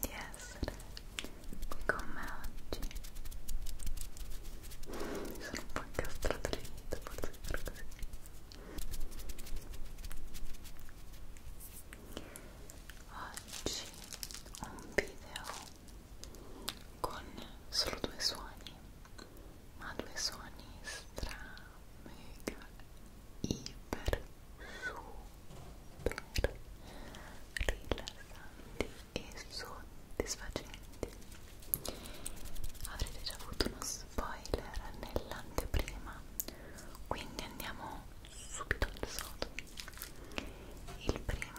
di essere qui con me oggi mi sono un po' incastrata le dita forse per così oggi un video con solo due suoni ma due suoni stra mega iper super super rilassanti e soddisfacenti avrete già avuto uno spoiler nell'anteprima quindi andiamo subito al sodo il primo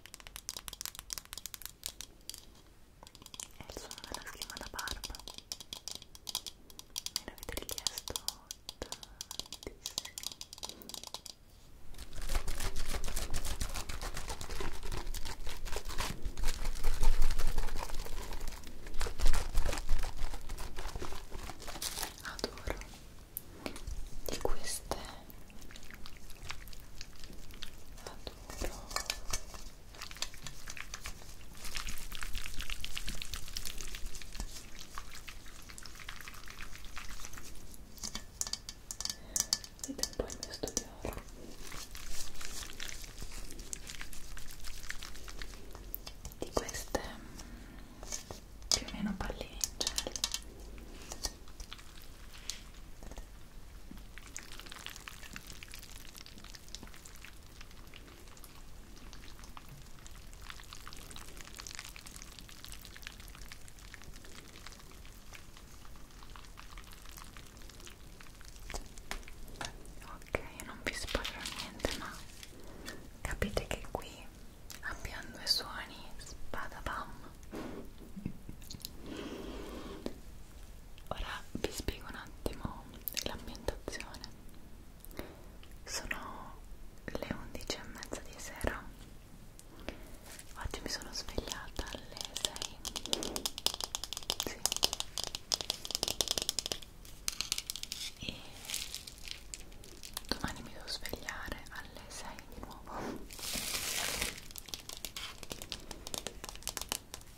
è il suono della schiuma da barba me l'avete richiesto tantissimo adoro di queste adoro vedete un po' il mio studio ora di queste mm, più o meno palline in gel ok, io non vi spoilerò niente ma capite che qui ambiando i suoni spadapam ora vi spiego un attimo l'ambientazione sono le 11 e mezza di sera oggi mi sono svegliata alle 6 sì. e domani mi devo svegliare alle 6 fai di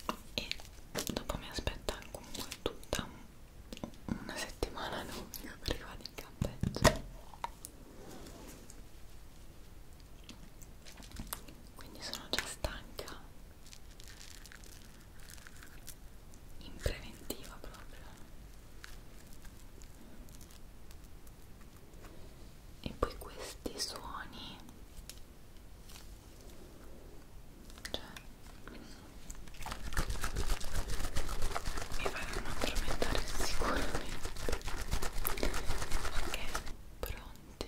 nuovo e dopo mi aspetta comunque tutta una settimana lunga perché vado in campeggio quindi sono già stanca in preventiva proprio e poi questi suoni cioè mi faranno addormentare sicuramente ok pronti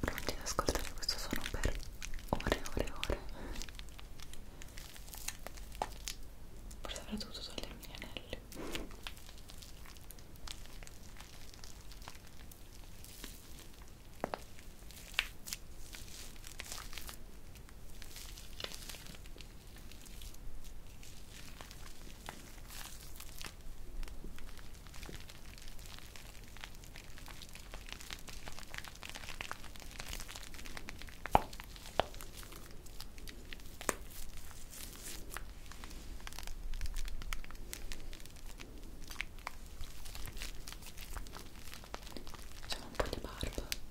Pronti ad ascoltare questo suono per ore e ore e ore. Forse avrei dovuto togliermi gli anelli. Facciamo un po' di barba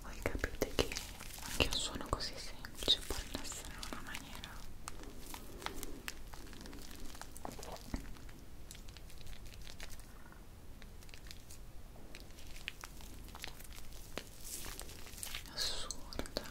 voi capite che anche un suono così semplice può rilassare in una maniera assurda assurda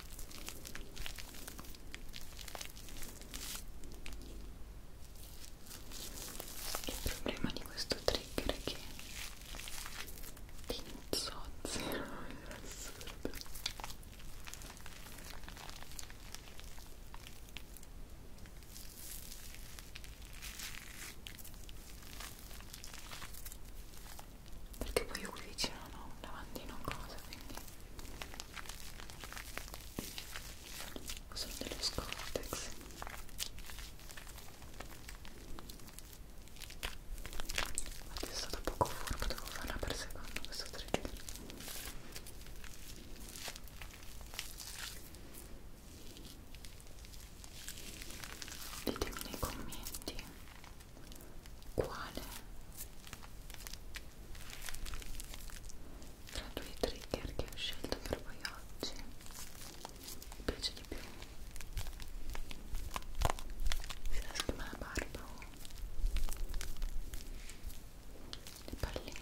Il problema di questo trigger è che l'inzozzi era assurdo perché poi io qui vicino non ho un lavandino o cosa quindi sono dello scortex infatti è stato poco furbo devo farla per secondo questo trigger ditemi nei commenti quale tra due trigger che ho scelto per voi oggi mi piace di più si schiuma la barba o oh. le palline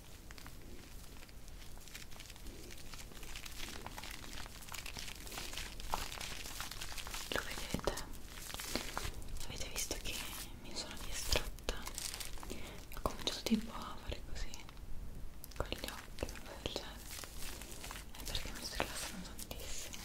lo vedete? avete visto che mi sono distratta? ho cominciato tipo a fare così con gli occhi del genere è perché mi sto rilassando tantissimo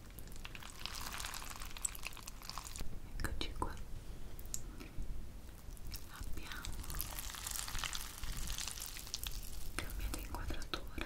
Eccoci qua. Abbiamo cambiato inquadratura.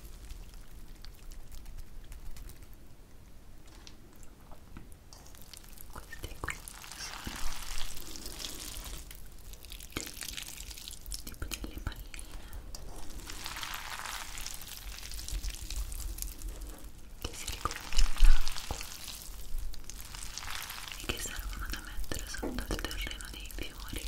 questi qui sono dei, tipo delle palline che si riconoscono in acqua e che servono da mettere sotto il terreno dei fiori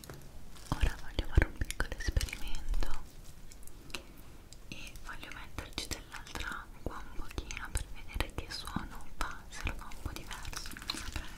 ora voglio fare un piccolo esperimento e voglio metterci dell'altra acqua un pochino per vedere che suono fa, se lo fa un po' diverso, non saprei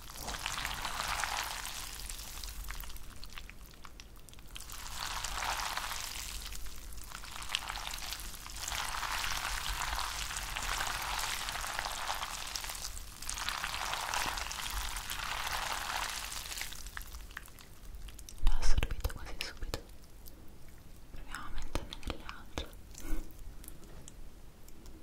l'ho assorbito quasi subito proviamo a mettermi nelle altre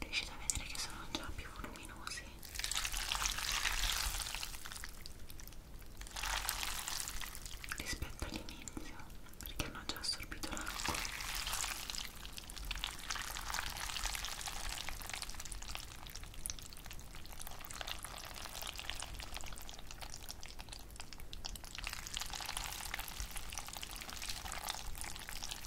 riuscite a vedere che sono già più voluminosi rispetto all'inizio perché hanno già assorbito l'acqua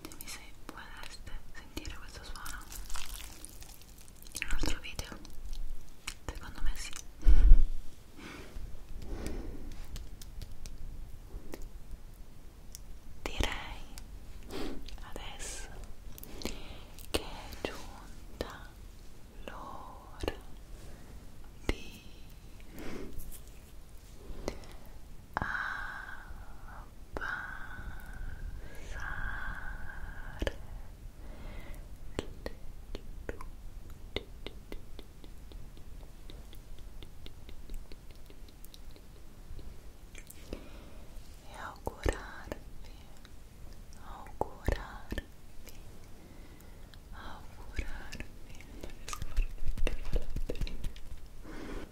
dimmi se vorreste sentire questo suono in un altro video secondo me sì direi adesso che è giunta l'ora di a pasar e augurarvi augurarvi augurarvi